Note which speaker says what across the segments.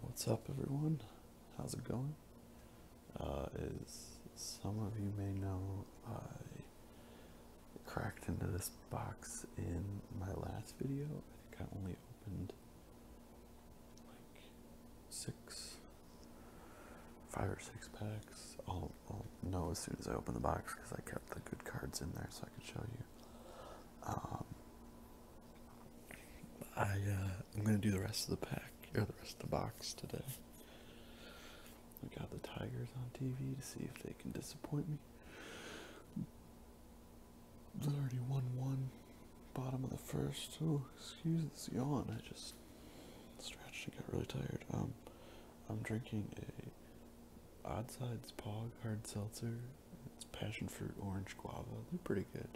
Speaker 1: What's up, everyone? How's it going? Uh, as some of you may know, I cracked into this box in my last video. I think I only opened like six, five or six packs. I'll, I'll know as soon as I open the box because I kept the good cards in there so I could show you. Um, I uh, I'm gonna do the rest of the pack or the rest of the box today. I got the Tigers on TV to see if they can disappoint me. They already won one. Bottom of the first. Oh, excuse this yawn. I just stretched and got really tired. Um, I'm drinking a Odd Sides Pog hard seltzer it's passion fruit, orange guava. They're pretty good.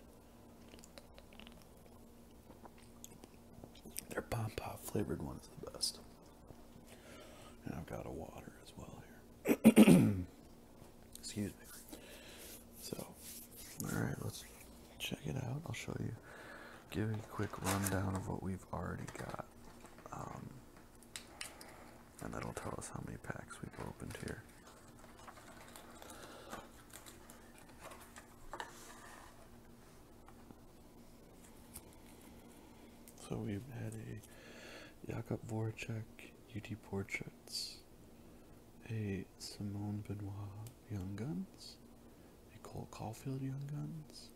Speaker 1: Their pom pop flavored one is the best. And I've got a water as well here. Excuse me. So, alright, let's check it out. I'll show you. Give you a quick rundown of what we've already got. Um, and that'll tell us how many packs we've opened here. So we've had a Jakob Voracek, UD Portraits, a Simone Benoit Young Guns, a Cole Caulfield Young Guns,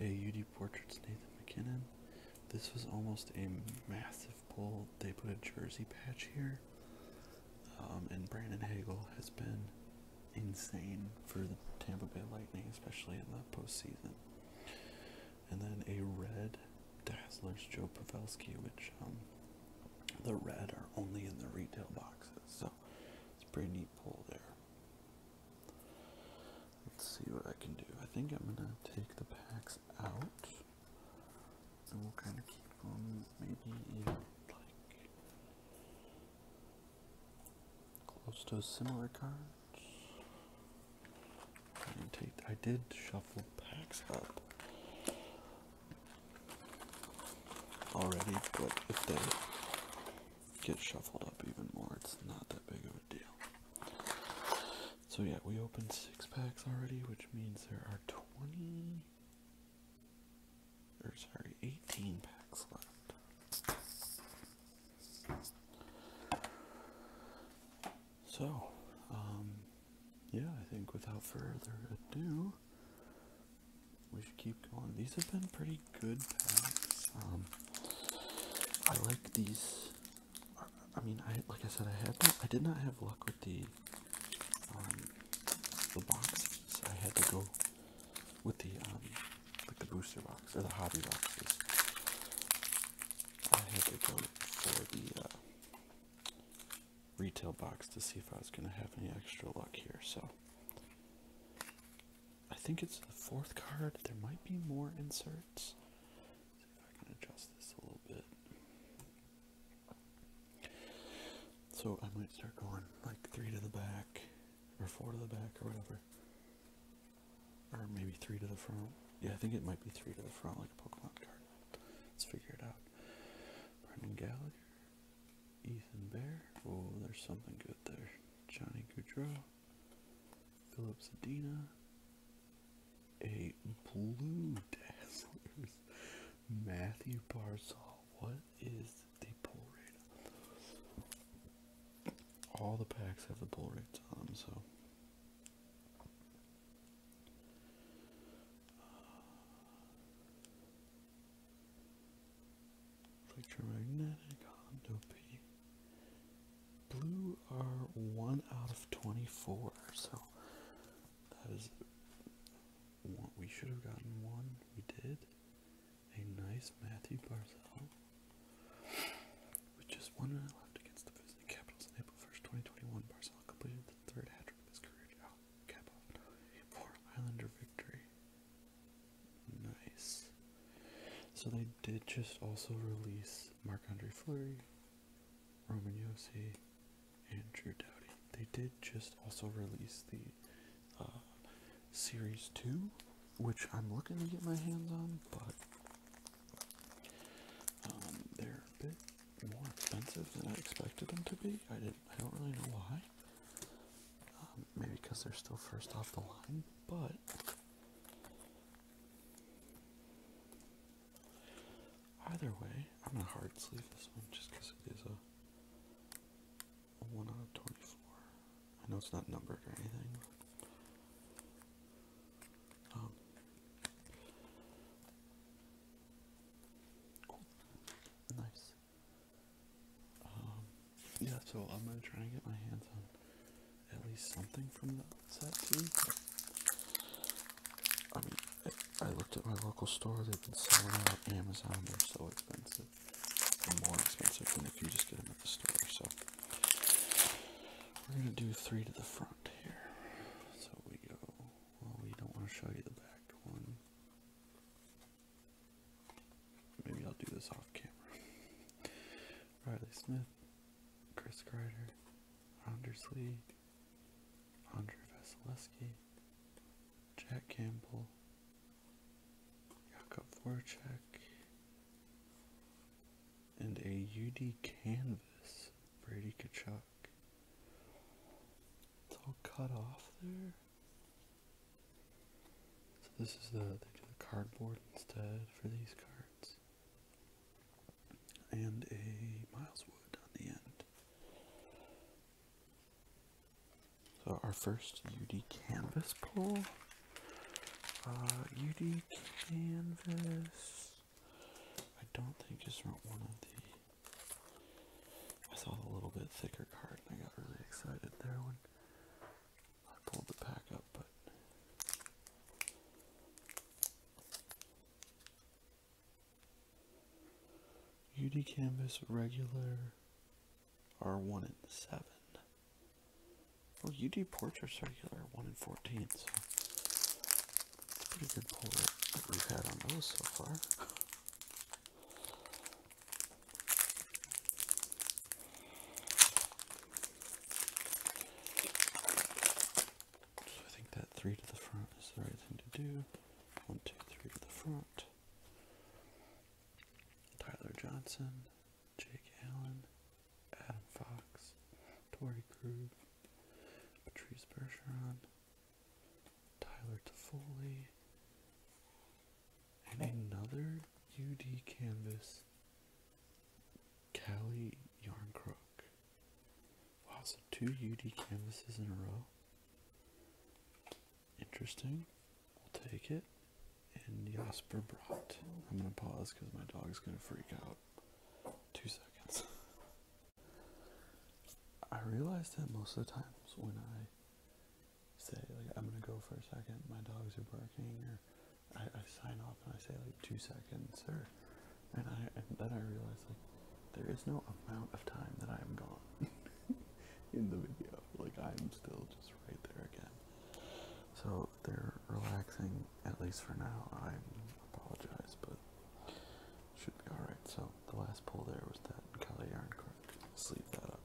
Speaker 1: a UD Portraits Nathan McKinnon. This was almost a massive pulled. They put a jersey patch here. Um, and Brandon Hagel has been insane for the Tampa Bay Lightning, especially in the postseason. And then a red Dazzler's Joe Pavelski, which um, the red are only in the retail boxes, so it's pretty neat pull there. Let's see what I can do. I think I'm gonna take the packs out and we'll kind of keep them maybe even like close to a similar cards take I did shuffle packs up already but if they get shuffled up even more it's not that big of a deal so yeah, we opened six packs already, which means there are 20 or sorry, 18 packs left. So, um, yeah, I think without further ado, we should keep going. These have been pretty good packs. Um, I like these I mean, I like I said, I had I did not have luck with the um, the boxes. I had to go with the um, like the booster box or the hobby boxes. I had to go for the uh, retail box to see if I was gonna have any extra luck here. So I think it's the fourth card. There might be more inserts. see if I can adjust this a little bit. So I might start going like three to the back, or four to the back, or whatever. Or maybe three to the front. Yeah, I think it might be three to the front, like a Pokemon card. Let's figure it out. Brendan Gallagher, Ethan Bear. Oh, there's something good there. Johnny Goudreau, Philip Adina a blue dazzlers. Matthew Barzal. What is the pull rate? All the packs have the pull rates on them, so. Electromagnetic Hondo P. Blue are 1 out of 24, so that is one. We should have gotten one. We did. A nice Matthew Barzell. With just one minute left against the visiting Capitals on April 1st, 2021, Barzell completed the third hat trick of his career to oh, cap off a 4 Islander victory. Nice. So they did just also release Mark Andre Fleury, Roman Yossi, Andrew Dowdy. They did just also release the uh, Series 2, which I'm looking to get my hands on, but um, they're a bit more expensive than I expected them to be. I didn't. I don't really know why. Um, maybe because they're still first off the line, but Either way, I'm gonna hard sleeve this one just because it is a, 1 out of 24. I know it's not numbered or anything. Um, nice. Um, yeah, so I'm gonna try and get my hands on at least something from the set too. I looked at my local store, they've been selling them out Amazon, they're so expensive. They're more expensive than if you just get them at the store, so we're gonna do three to the front here. So we go well we don't want to show you the back one. Maybe I'll do this off camera. Riley Smith, Chris Kreider, Anders Lee, Andre Vasilevsky, Jack Campbell, Jakub Voracek, and a UD canvas, Brady Kachuk. It's all cut off there. So this is the the cardboard instead for these cards and a Miles Wood on the end. So our first UD canvas pull. Uh, UD canvas. I don't think it's one of the. I saw a little bit thicker card and I got really excited there when I pulled the pack up, but UD Canvas regular are 1 and 7. Well, UD portraits circular 1 and 14, so it's a pretty good pull that we've had on those so far. So I think that three to the front is the right thing to do. One, two, three to the front. Tyler Johnson, Jake Allen, Adam Fox, Tori Krug, Patrice Bergeron, Tyler Toffoli, and another UD canvas, Callie Yarncrook. Wow, so two UD canvases in a row. Interesting. We'll take it. And Jasper brought. I'm gonna pause because my dog's gonna freak out. Two seconds. I realize that most of the times when I say like I'm gonna go for a second, my dogs are barking, or I, sign off and I say like two seconds or and I then I realized like there is no amount of time that I am gone in the video. Like I'm still just right there again. So they're relaxing at least for now. I apologize, but should be all right. So the last pull there was that Kali yarn card. Sleep that up.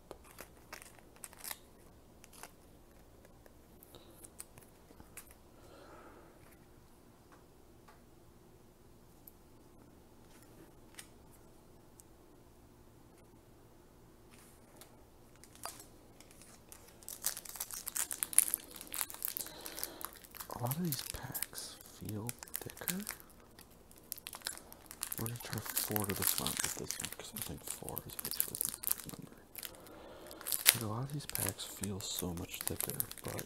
Speaker 1: A lot of these packs feel thicker. We're gonna try four to the this one because I think four is basically the number. But a lot of these packs feel so much thicker, but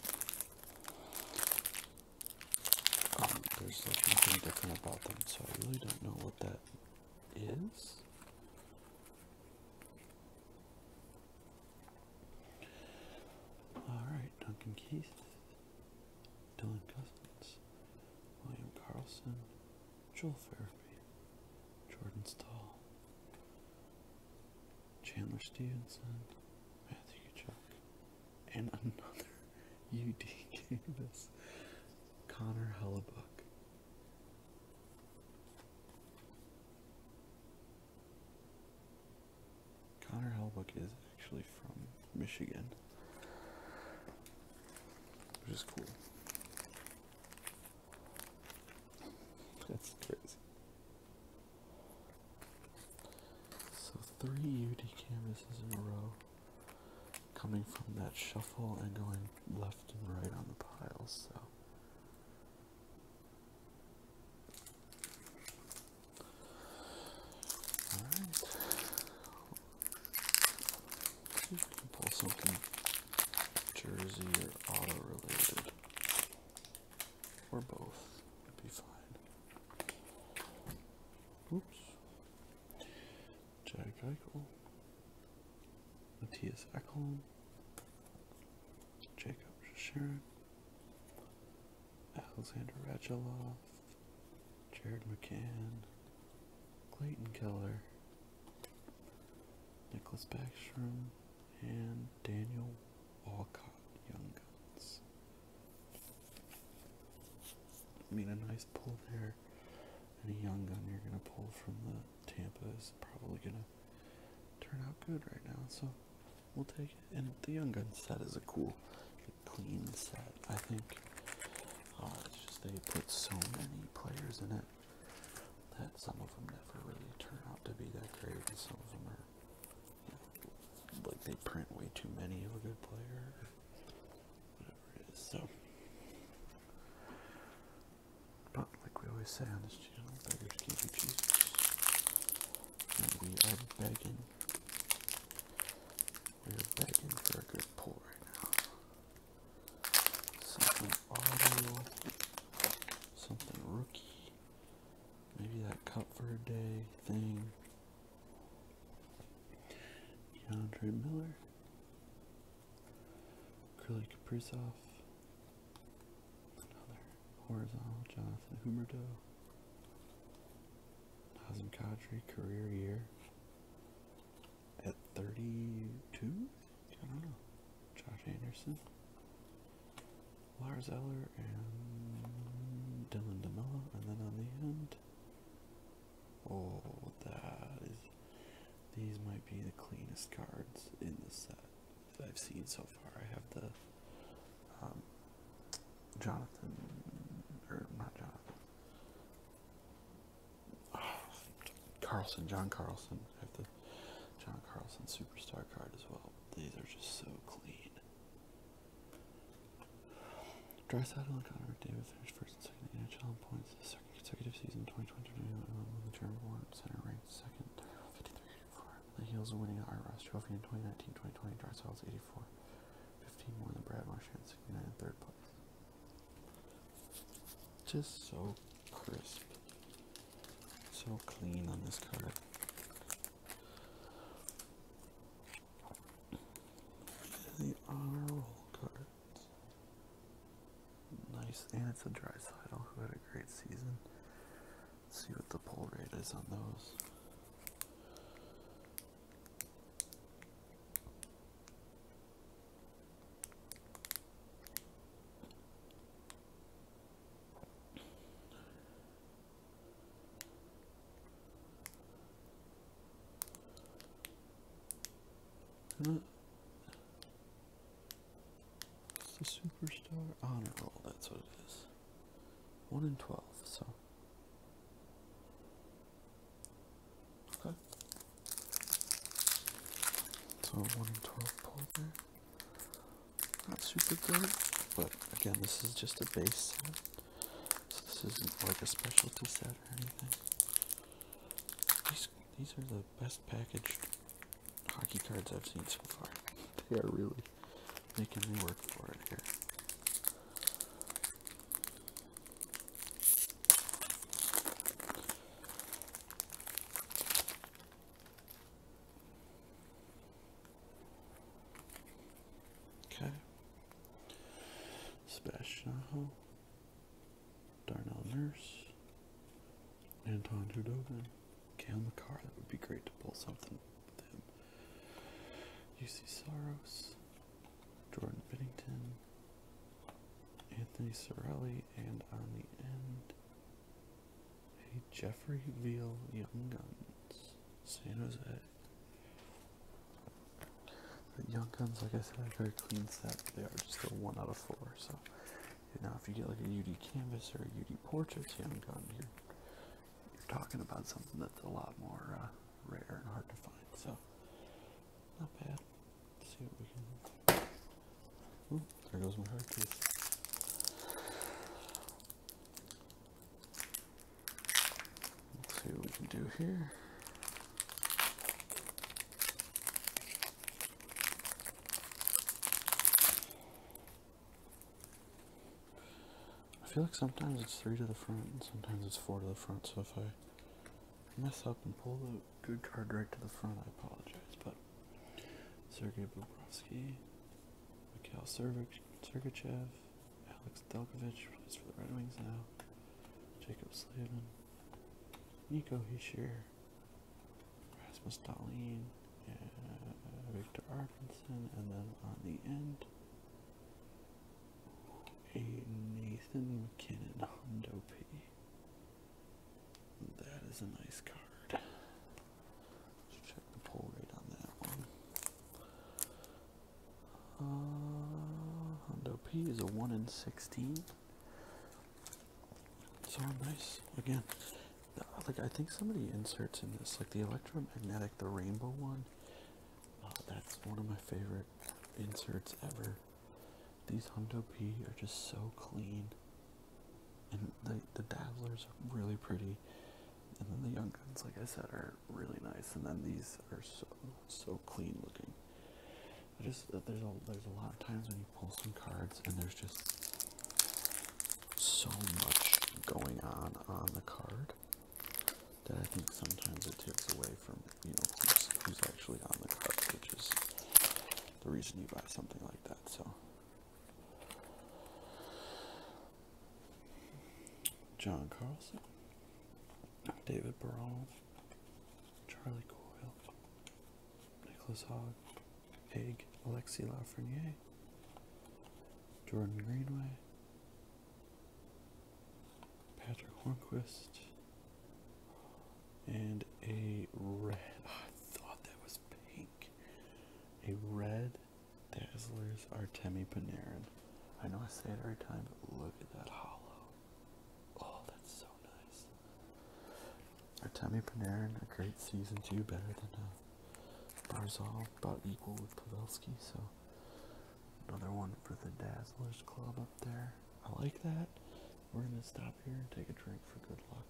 Speaker 1: um, there's like nothing different about them, so I really don't know what that is. Alright, Duncan Keith, Dylan Cousins, William Carlson, Joel Farabee, Jordan Stahl, Chandler Stevenson, Matthew Chuck, and another UD Davis, Connor Hellebuck. Connor Hellebuck is actually from Michigan, which is cool. That's crazy. So three UD canvases in a row coming from that shuffle and going left and right on the piles, so Alright. see if we can pull something Jersey or auto related or both would be fine. Oops. Jack Eichel, Matthias Ekholm, Jacob Sharon, Alexander Radulov, Jared McCann, Clayton Keller, Nicholas Backstrom, and Daniel Walcott Young Guns. I mean, a nice pull there. Any young gun you're going to pull from the Tampa is probably going to turn out good right now, so we'll take it. And the young gun set is a cool, clean set, I think. Oh, it's just they put so many players in it that some of them never really turn out to be that great, and some of them are like they print way too many of a good player, whatever it is. So, but like we always say on this channel, beggars can't be choosers, and we are begging. We are begging for a good pull right now. Something audio, something rookie maybe that cup for a day thing. DeAndre Miller, Curly Kaprizov, another horizontal Jonathan Humerdo, Nazem Kadri career year at 32. I don't know. Josh Anderson, Lars Eller and Dylan DeMello, and then on the end, oh, that is. These might be the cleanest cards in the set that I've seen so far. I have the um, Jonathan, or not Jonathan, Carlson, John Carlson. I have the John Carlson Superstar card as well. These are just so clean. Drysdale and Connor McDavid finished first and second in NHL in points the second consecutive season, 2022, um, the German Warren Center ranked second, The Heels are winning the Iros Trophy in 2019-2020, Drysdale's 84, 15 more than Brad Marchand, 69 in third place. Just so crisp, so clean on this card. The honor roll cards. Nice, and it's a dry sidle who had a great season. Let's see what the pull rate is on those. It's the superstar honor roll, that's what it is. One in twelve, so okay. So one in twelve pulled there not super good, but again, this is just a base set, so this isn't like a specialty set or anything. These, these are the best packaged hockey cards I've seen so far. they are really making me work for it here. Okay. Sebastian Aho, Darnell Nurse, Anton Hudoven, Gail McCarr. That would be great to pull something with him. UC Soros, Jordan Biddington, Anthony Sorelli, and on the end, Hey, Jeffrey Veal Young Guns, San Jose. The Young Guns, like I said, are very clean set. They are just a one out of four. So now, if you get like a UD canvas or a UD portrait Young Gun, you're, talking about something that's a lot more uh, rare and hard to find. So not bad. Let's see what we can. Ooh, there goes my hard case. Let's see what we can do here. I feel like sometimes it's three to the front and sometimes it's four to the front, so if I mess up and pull the good card right to the front, I apologize, but Sergei Bobrovsky, Mikhail Sergachev, Alex Delkovich plays for the Red Wings now. Jacob Slavin. Nico Heischer. Rasmus Dahlin. Victor Arvidsson. And then on the end, a Nathan McKinnon Hondo P. That is a nice card. Let's check the pull rate on that one. Uh, Hondo P is a 1 in 16. So nice. Again, like I think somebody inserts in this, like the electromagnetic, the rainbow one. Uh, that's one of my favorite inserts ever. These Hondo P are just so clean. And the, the dazzlers are really pretty. And then the young guns, like I said, are really nice. And then these are so so clean looking. I just there's a there's a lot of times when you pull some cards and there's just so much going on on the card that I think sometimes it takes away from you know who's, who's actually on the card, which is the reason you buy something like that. So John Carlson, David Barone, Charlie Coyle, Nicholas Hogg, Haig, Alexi Lafreniere, Jordan Greenway, Patrick Hornquist, and a red. Oh, I thought that was pink. A red Dazzlers Luis Artemi Panarin. I know I say it every time, but look at that hollow. Oh, that's so nice. Artemi Panarin, a great season too, better than uh, Barzal, about equal with Pavelski, so another one for the Dazzlers Club up there. I like that. We're gonna stop here and take a drink for good luck.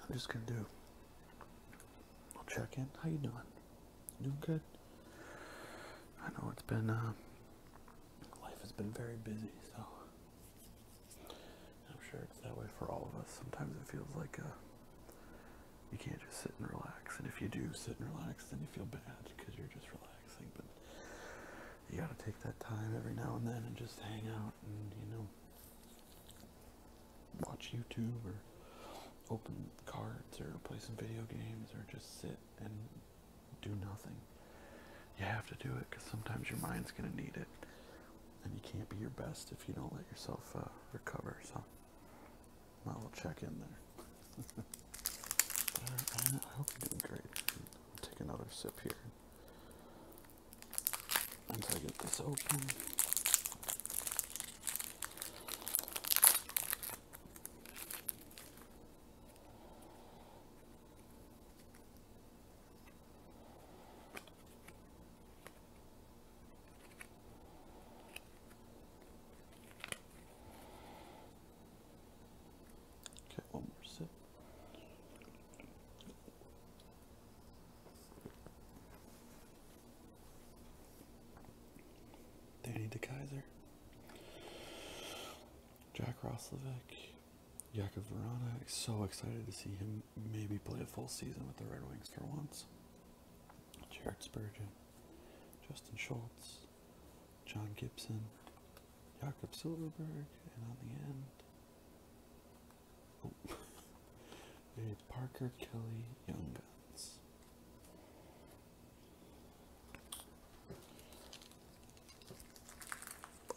Speaker 1: I'm just gonna do. I'll check in. How you doing? doing good? I know it's been. Uh, life has been very busy, so I'm sure it's that way for all of us. Sometimes it feels like uh, you can't just sit and relax, and if you do sit and relax, then you feel bad because you're just relaxing. But you got to take that time every now and then and just hang out and, you know, watch YouTube or open cards or play some video games or just sit and do nothing. You have to do it because sometimes your mind's going to need it. And you can't be your best if you don't let yourself uh, recover. So, my little check in there. Uh, I hope you're doing great. take another sip here. Once I get this open. Okay, one more sip. Danny DeKaiser, Jack Roslovic, Jakub Verana. So excited to see him maybe play a full season with the Red Wings for once. Jared Spurgeon, Justin Schultz, John Gibson, Jakob Silverberg, and on the end, Oh. Parker Kelly Young Guns.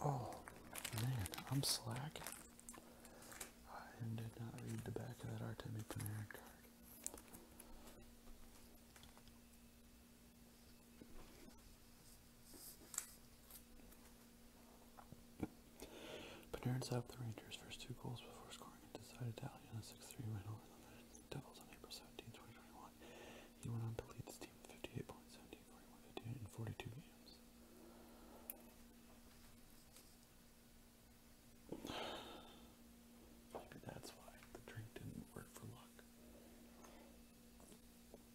Speaker 1: Oh man, I'm slacking. I did not read the back of that Artemi Panarin card. Panarin stopped the Rangers' first two goals before scoring a decisive tally on a 6-3 win over the Devils on April 17, He went on to lead the team 58 points, 78, 41, 58 in 42 games. Maybe that's why the drink didn't work for luck.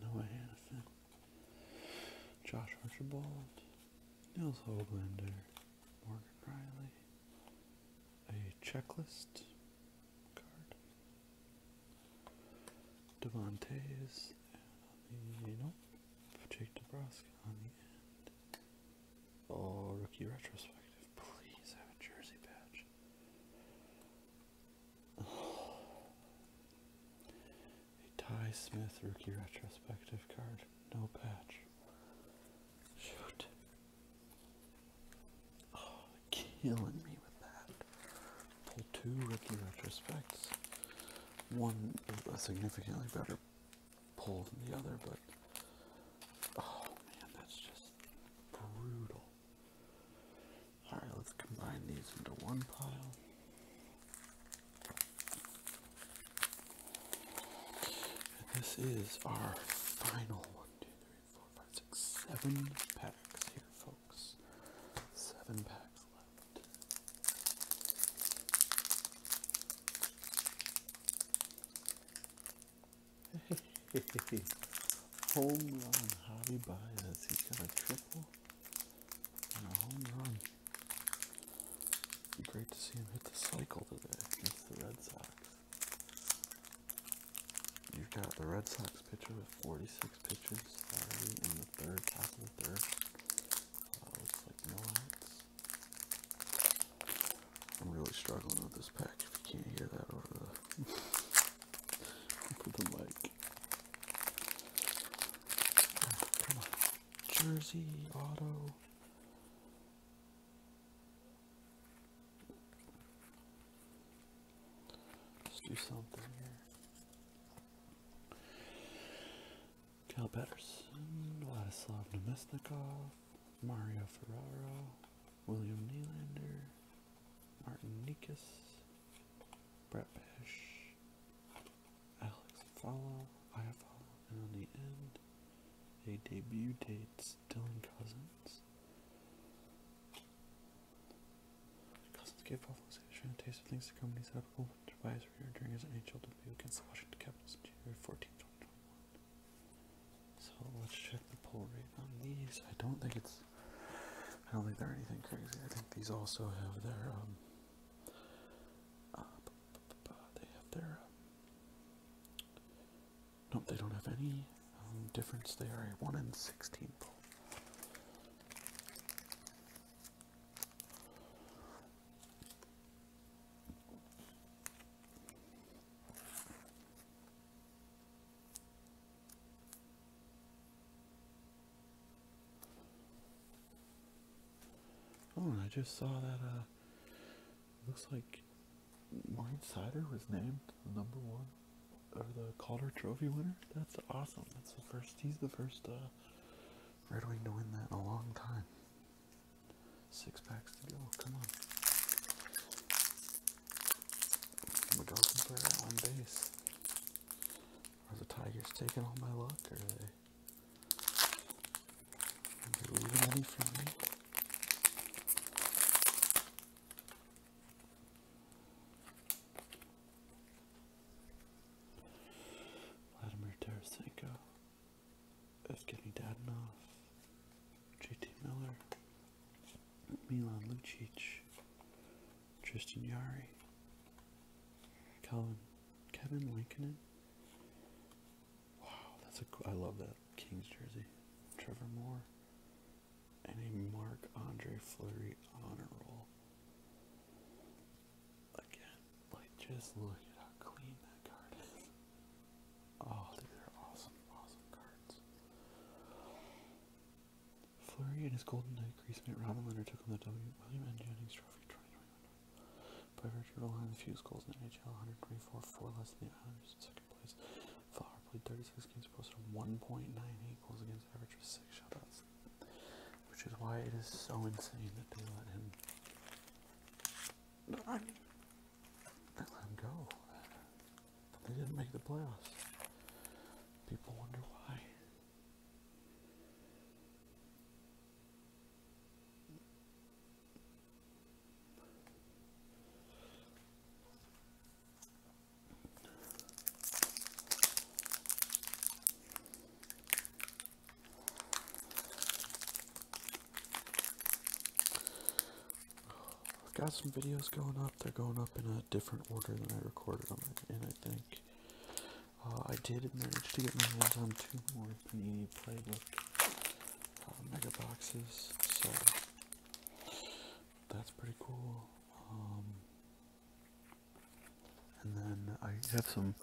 Speaker 1: Noah Hannafin, Josh Archibald, Nils Hoaglander, Morgan Riley, a checklist card, Devontae's, and on the, Jake DeBrusque on the end, Oh, rookie retrospective. Please have a jersey patch. A Ty Smith rookie retrospective card. No patch. Shoot. Oh, killing me with that. Pull two rookie retrospects. One a significantly better pull than the other, but oh man, that's just brutal. Alright, let's combine these into one pile. And this is our final one, two, three, four, five, six, seven packs here, folks. Seven packs left. Hey, hey, hey. home run hobby buy. That's he's got a triple and a home run. Great to see him hit the cycle today against the Red Sox. You've got the Red Sox pitcher with 46 pitches already in the third, top of the third. Uh, looks like no outs. I'm really struggling with this pack if you can't hear that over the, over the mic. Jersey, auto. Let's do something here. Cal Patterson, Vladislav Nemesnikov, Mario Ferraro. William Nylander, Martin Nikas, Brett Pesh, Alex Follow, I and on the end, they debut dates Dylan Cousins. Cousins gave Buffalo's Adrian a taste of things to come in his admirable during his NHL debut against the Washington Capitals in January 14, 2021. So let's check the pull rate on these. I don't think it's. I don't think they're anything crazy. I think these also have their um. Uh, they have their. Um, nope, they don't have any um, difference. They are a one in sixteen pull. Oh, I just saw that, uh, looks like Wine Cider was named number one, or the Calder Trophy winner. That's awesome. That's the first, he's the first, uh, Red Wing to win that in a long time. Six packs to go, come on. McGovern played at one base. Are the Tigers taking all my luck, or are they, leaving any from me? Vladimir Tarasenko is getting dad off. JT Miller. Milan Lucic, Tristan Yari, Colin, Kevin Lincoln. Wow, that's a cool, I love that Kings jersey. Trevor Moore, and a Mark Andre Fleury honor roll. Again, like just look at how clean that card is. Oh, and his Golden Knight Greasemate Robin Leonard took home the W. William N. Jennings Trophy By virtue of Roland, the fewest goals in the NHL, 124, four less than the Islanders in second place. Flower played 36 games, posted 1.98 goals against average with six shutouts. Which is why it is so insane that they let him. They let him go. they didn't make the playoffs. People wonder why. I've got some videos going up. They're going up in a different order than I recorded them and I think. Uh, I did manage to get my hands on two more Panini Playbook uh, Mega Boxes, so that's pretty cool. Um, and then I have some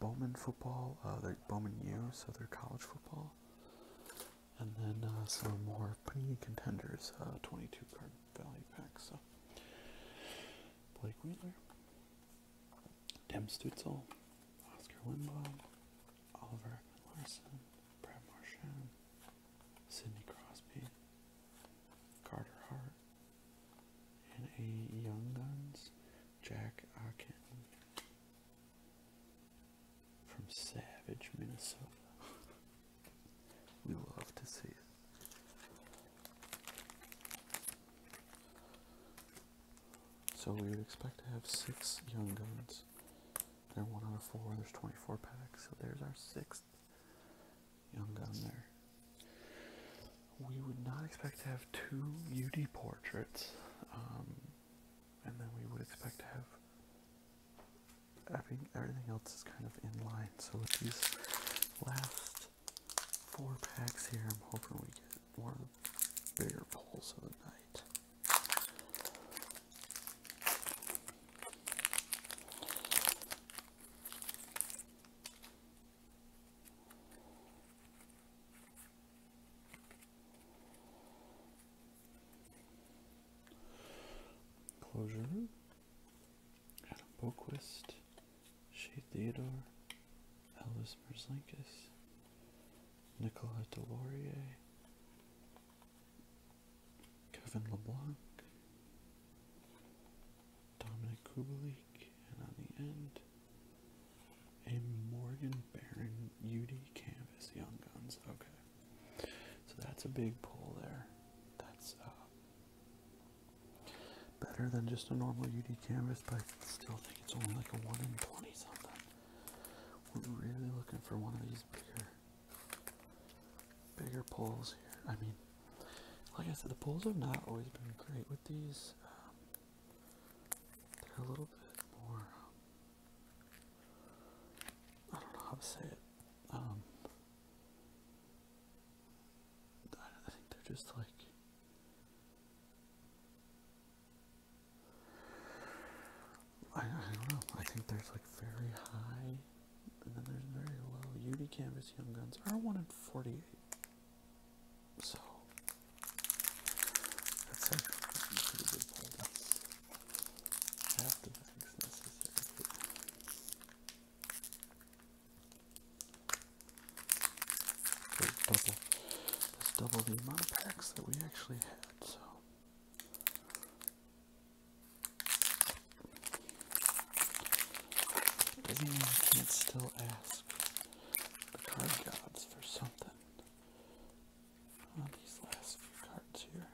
Speaker 1: Bowman football, uh, like Bowman U, so they're college football and then uh, some more Panini Contenders uh, 22 card value packs. Blake Wheeler, Dem Stutzel, Oscar Lindbaum, Oliver Larson, Brad Marchand, Sidney Crosby, Carter Hart, and a Young Guns, Jack Akin, from Savage, Minnesota. we love to see So we would expect to have six young guns. They're one out of four. There's 24 packs. So there's our sixth young gun there. We would not expect to have two UD portraits. Um, and then we would expect to have I think everything else is kind of in line. So with these last four packs here, I'm hoping we get one of the bigger pulls of the night. Closure, Adam Boquist, Shea Theodore, Elvis Merzlinkis, Nicola Delaurier, Kevin LeBlanc, Dominic Kubalek, and on the end, a Morgan Baron. UD Canvas Young Guns. Okay. So that's a big pull there. That's uh, better than just a normal UD canvas, but I still think it's only like a 1 in 20 something. We're really looking for one of these bigger, bigger pulls here. I mean, like I said, the pulls have not always been great with these. Um, they're a little bit more um, I don't know how to say it. Um, I think they're just like. I, I don't know. I think there's like very high, and then there's very low. UV Canvas Young Guns are 1 in 48. So, that's like pretty good nothing's necessary. There's double, the amount of packs that we actually had, so. does mean I can't still ask the card gods for something on these last few cards here.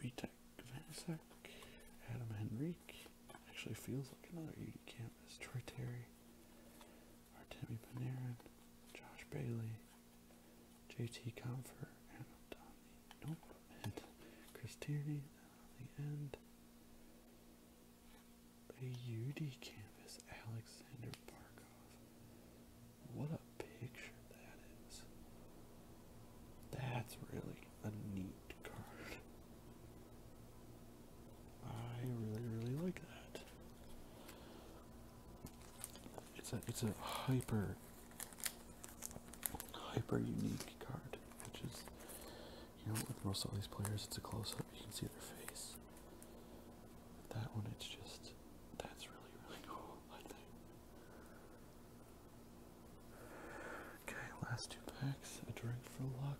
Speaker 1: Vitek Vanesek, Adam Henrique, actually feels like another UD campus, Troy Terry, Artemi Panarin, Josh Bailey, JT Comfort, and Donnie, nope, and Chris Tierney, the end, a UD canvas, Alexander Barkov. What a picture that is. That's really a neat card. I really, really like that. It's a it's a hyper hyper unique card, which is you know with most of these players it's a close you can see their face that one it's just that's really really cool I think okay last two packs a drink for luck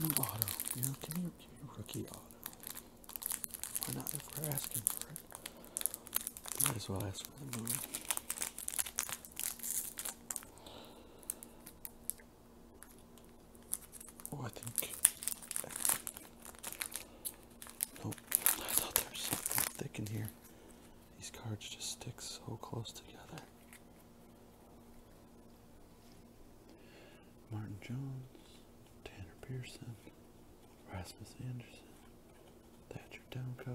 Speaker 1: Give auto, you know, give me, rookie auto. Why not if we're asking for it? Might as well ask for the moon. Oh, I think. Nope. I thought there was something thick in here. These cards just stick so close together. Martin Jones, Tanner Pearson, Rasmus Anderson, Thatcher Demko,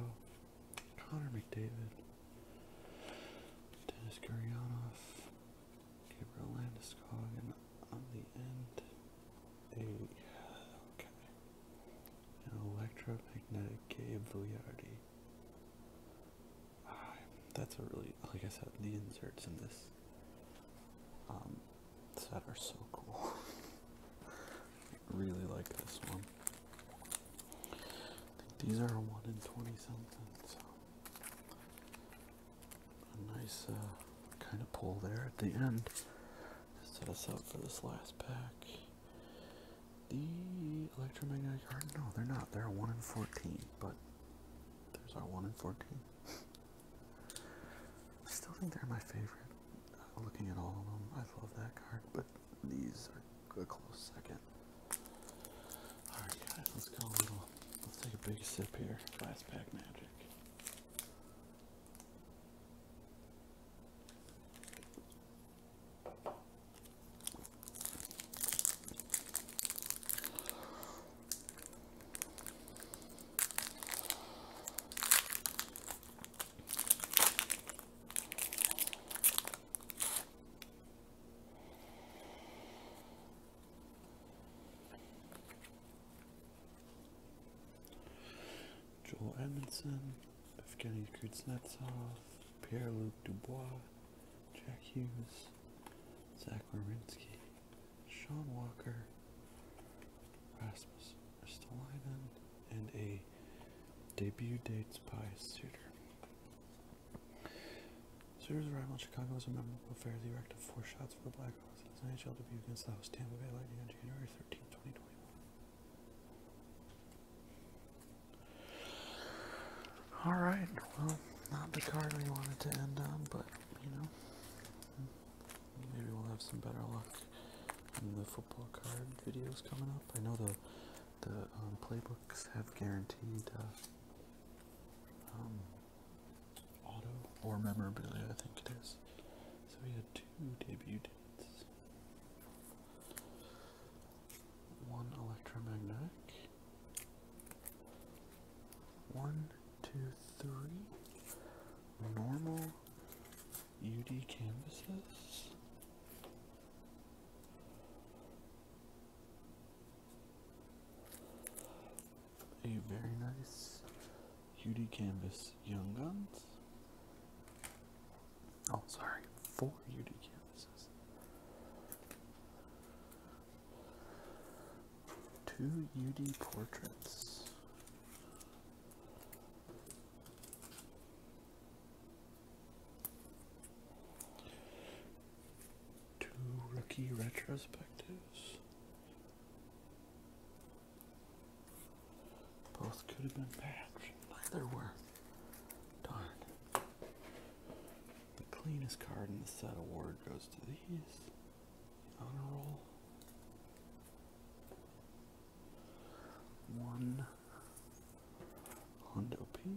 Speaker 1: Connor McDavid, Dennis Gurianov, Gabriel Landeskog, and on the end, a electromagnetic Gabe Vujardi. Ah, that's a really, like I said, the inserts in this um, that are so cool. really like this one. I think these are one in twenty something, so a nice uh, kind of pull there at the end to set us up for this last pack. The electromagnetic heart? No, they're not. They're a one in fourteen, but there's our one in fourteen. I still think they're my favorite. Looking at all of them, I love that card, but these are a close second. Alright guys, let's go a little, let's take a big sip here. Last pack magic. Joel Edmondson, Evgeny Kuznetsov, Pierre-Luc Dubois, Jack Hughes, Zach Marinsky, Sean Walker, Rasmus Ristolainen, and a debut dates by Suter. Suter's arrival in Chicago was a memorable affair. He erected four shots for the Blackhawks in his NHL debut against the host Tampa Bay Lightning on January 13, 2021. Alright, well, not the card we wanted to end on, but, you know, Maybe we'll have some better luck in the football card videos coming up. I know the the um, playbooks have guaranteed uh, um, auto or memorabilia, I think it is. So we had two debut dates. One electromagnetic. One, two, three. Normal UD canvases. A very nice UD canvas Young Guns. Oh, sorry, four UD canvases. Two UD portraits. Two rookie retrospectives. Both could have been patched. Neither worth. Darn. The cleanest card in the set award goes to these. On a roll one Honda P.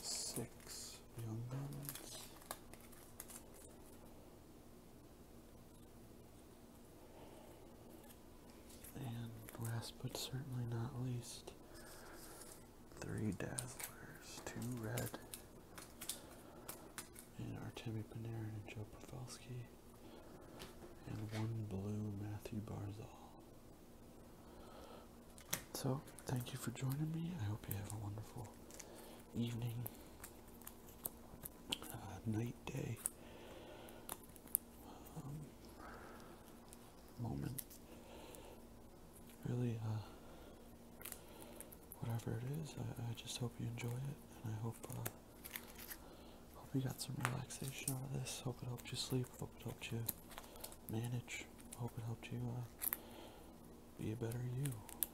Speaker 1: Six young guns. And last but certainly not least, three Dazzlers, two red, and Artemi Panarin and Joe Pavelski, and one blue, Matthew Barzal. So, thank you for joining me. I hope you have a wonderful evening, uh, night, day, um, moment. Really, uh, whatever it is, I, just hope you enjoy it, and I hope, uh, hope you got some relaxation out of this. Hope it helped you sleep. Hope it helped you manage. Hope it helped you uh, be a better you.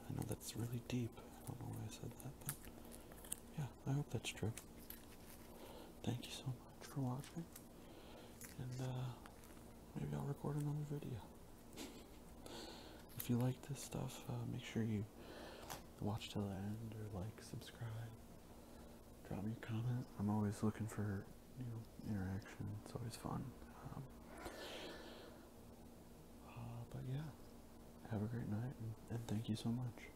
Speaker 1: I know that's really deep. I don't know why I said that, but yeah. I hope that's true. Thank you so much for watching, and uh, maybe I'll record another video. if you like this stuff, uh, make sure you watch till the end, or like, subscribe, drop me a comment. I'm always looking for new interaction. It's always fun. Um, uh, but yeah, have a great night, and thank you so much.